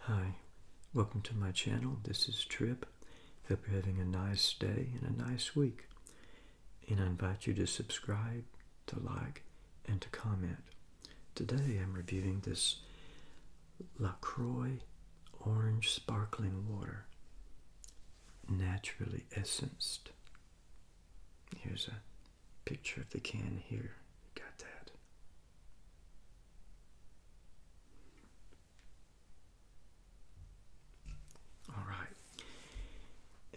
Hi, welcome to my channel. This is Trip. Hope you're having a nice day and a nice week. And I invite you to subscribe, to like, and to comment. Today I'm reviewing this La Croix Orange Sparkling Water, naturally essenced. Here's a picture of the can here. Got that. All right.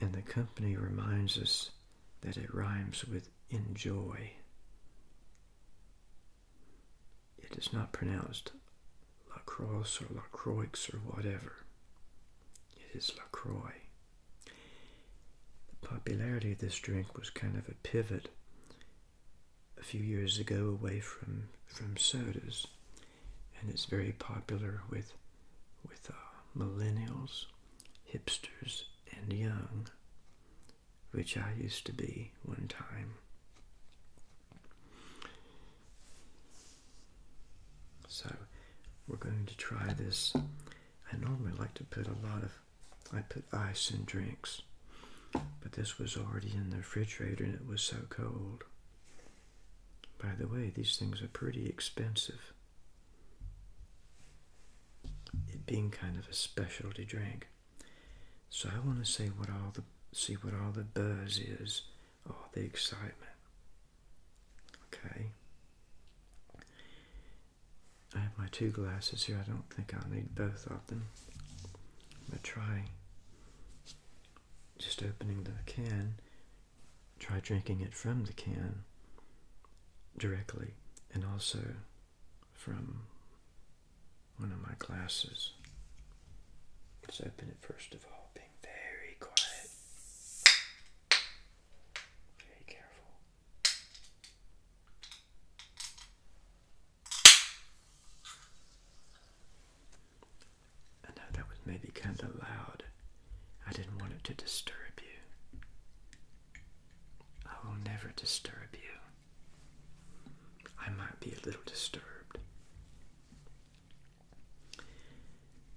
And the company reminds us that it rhymes with enjoy. It is not pronounced lacrosse or lacroix or whatever. It is lacroix. The popularity of this drink was kind of a pivot a few years ago away from from sodas, and it's very popular with with uh, millennials, hipsters, and young, which I used to be one time. So we're going to try this I normally like to put a lot of, I put ice in drinks, but this was already in the refrigerator and it was so cold. By the way, these things are pretty expensive. It being kind of a specialty drink. So I want to say what all the see what all the buzz is, all the excitement. Okay. I have my two glasses here. I don't think I'll need both of them. But try just opening the can, try drinking it from the can directly, and also from one of my glasses. Let's open it first of all, being very quiet. Very careful. I know that was maybe kind of loud. I didn't want it to disturb you. I will never disturb you. I might be a little disturbed.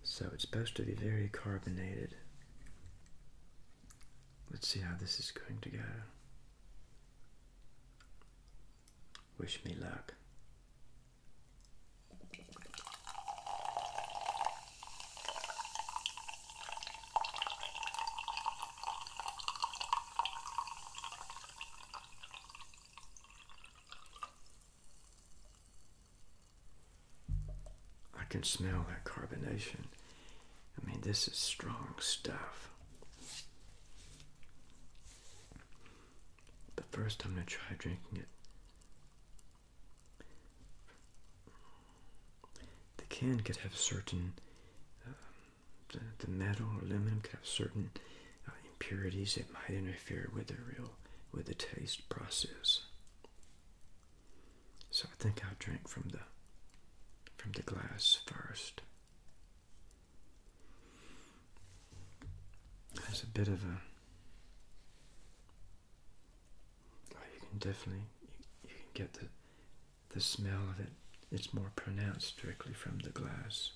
So it's supposed to be very carbonated. Let's see how this is going to go. Wish me luck. I can smell that carbonation. I mean, this is strong stuff. But first, I'm going to try drinking it. The can could have certain, uh, the, the metal or aluminum could have certain uh, impurities that might interfere with the real, with the taste process. So I think I'll drink from the from the glass first. There's a bit of a oh, you can definitely you, you can get the the smell of it. It's more pronounced directly from the glass.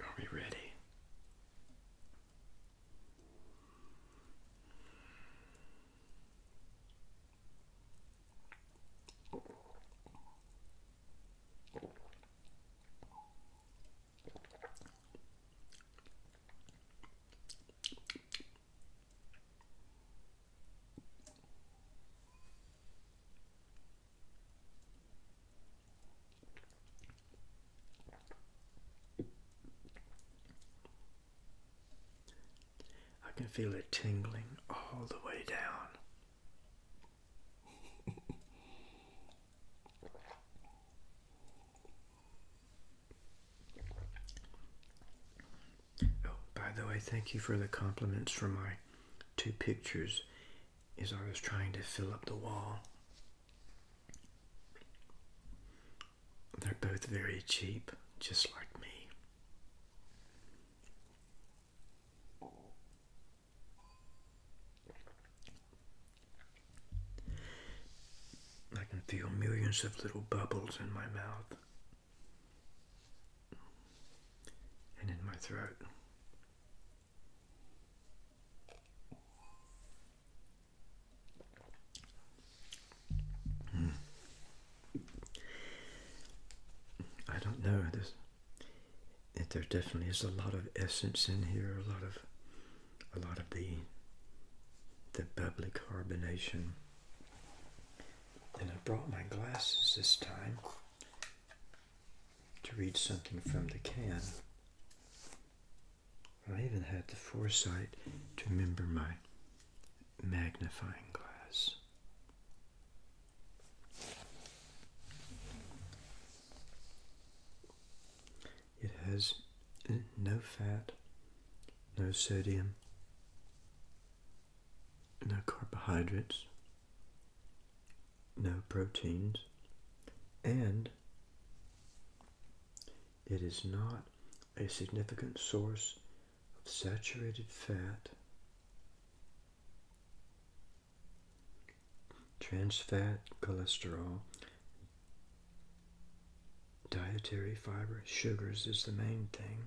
Are we ready? I can feel it tingling all the way down. Oh, by the way, thank you for the compliments for my two pictures as I was trying to fill up the wall. They're both very cheap, just like me. I can feel millions of little bubbles in my mouth and in my throat. Hmm. I don't know. There's, there definitely is a lot of essence in here, a lot of a lot of the the bubbly carbonation. And I brought my glasses this time to read something from the can. I even had the foresight to remember my magnifying glass. It has uh, no fat, no sodium, no carbohydrates, no proteins, and it is not a significant source of saturated fat, trans fat, cholesterol, Dietary fiber, sugars is the main thing,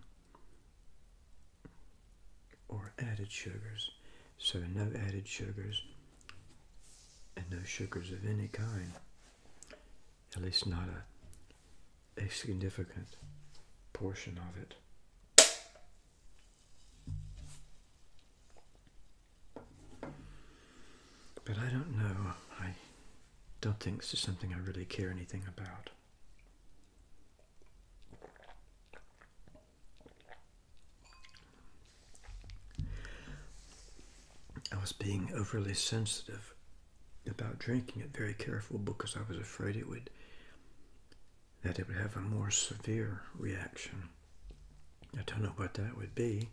or added sugars. So, no added sugars and no sugars of any kind, at least not a, significant portion of it. But I don't know. I don't think this is something I really care anything about. I was being overly sensitive about drinking it, very careful because I was afraid it would that it would have a more severe reaction. I don't know what that would be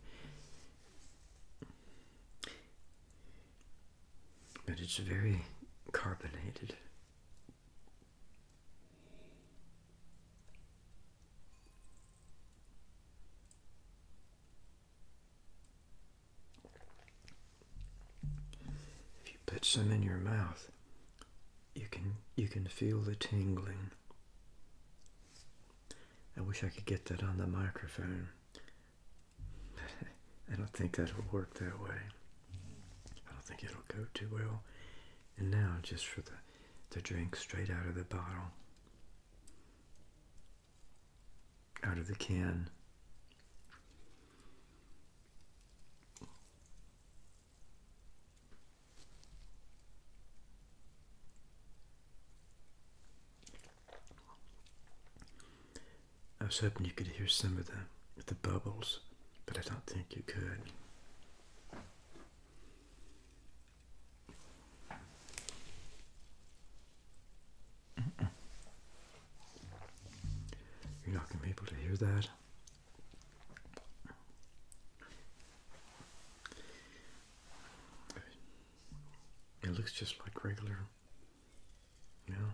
but it's very carbonated. If you put some in your mouth, you can you can feel the tingling. I wish I could get that on the microphone. I don't think that'll work that way. I don't think it'll go too well. And now, just for the, the drink straight out of the bottle, out of the can. I was hoping you could hear some of the the bubbles, but I don't think you could. You're not going to be able to hear that. It looks just like regular. you know,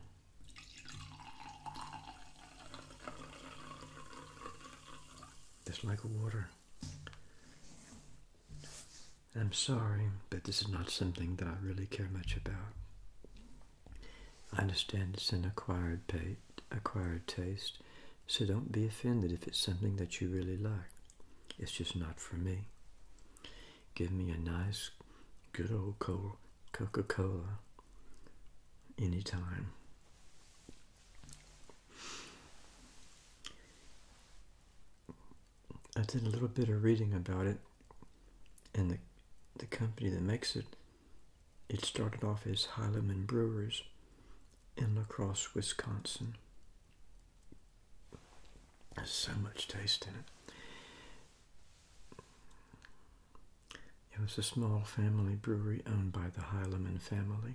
Just like water. I'm sorry, but this is not something that I really care much about. I understand it's an acquired taste, so don't be offended if it's something that you really like. It's just not for me. Give me a nice, good old Coca Cola anytime. I did a little bit of reading about it, and the, the company that makes it, it started off as Highland Brewers in La Crosse, Wisconsin. There's so much taste in it. It was a small family brewery owned by the Heilman family.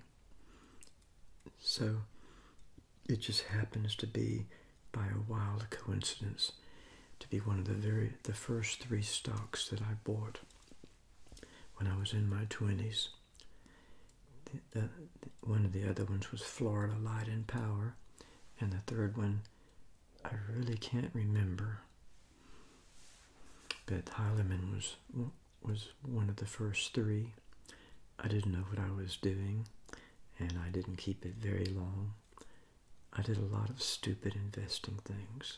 So it just happens to be, by a wild coincidence, to be one of the very the first three stocks that I bought when I was in my twenties. The, one of the other ones was Florida Light and Power, and the third one I really can't remember. But Heilemann was was one of the first three. I didn't know what I was doing, and I didn't keep it very long. I did a lot of stupid investing things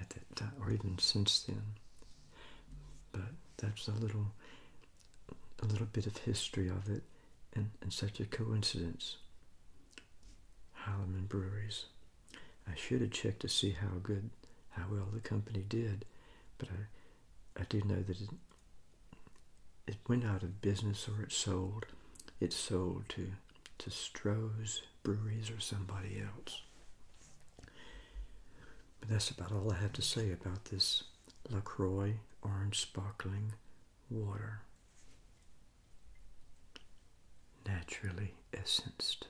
at that time, or even since then. But that's a little a little bit of history of it and, and such a coincidence. Holloman Breweries. I should have checked to see how good, how well the company did, but I, I do know that it, it went out of business or it sold. It sold to, to Stroh's Breweries or somebody else. But that's about all I have to say about this LaCroix orange sparkling water. Naturally essenced.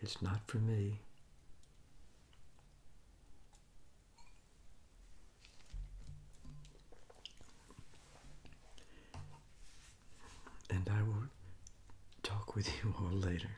It's not for me. And I will talk with you all later.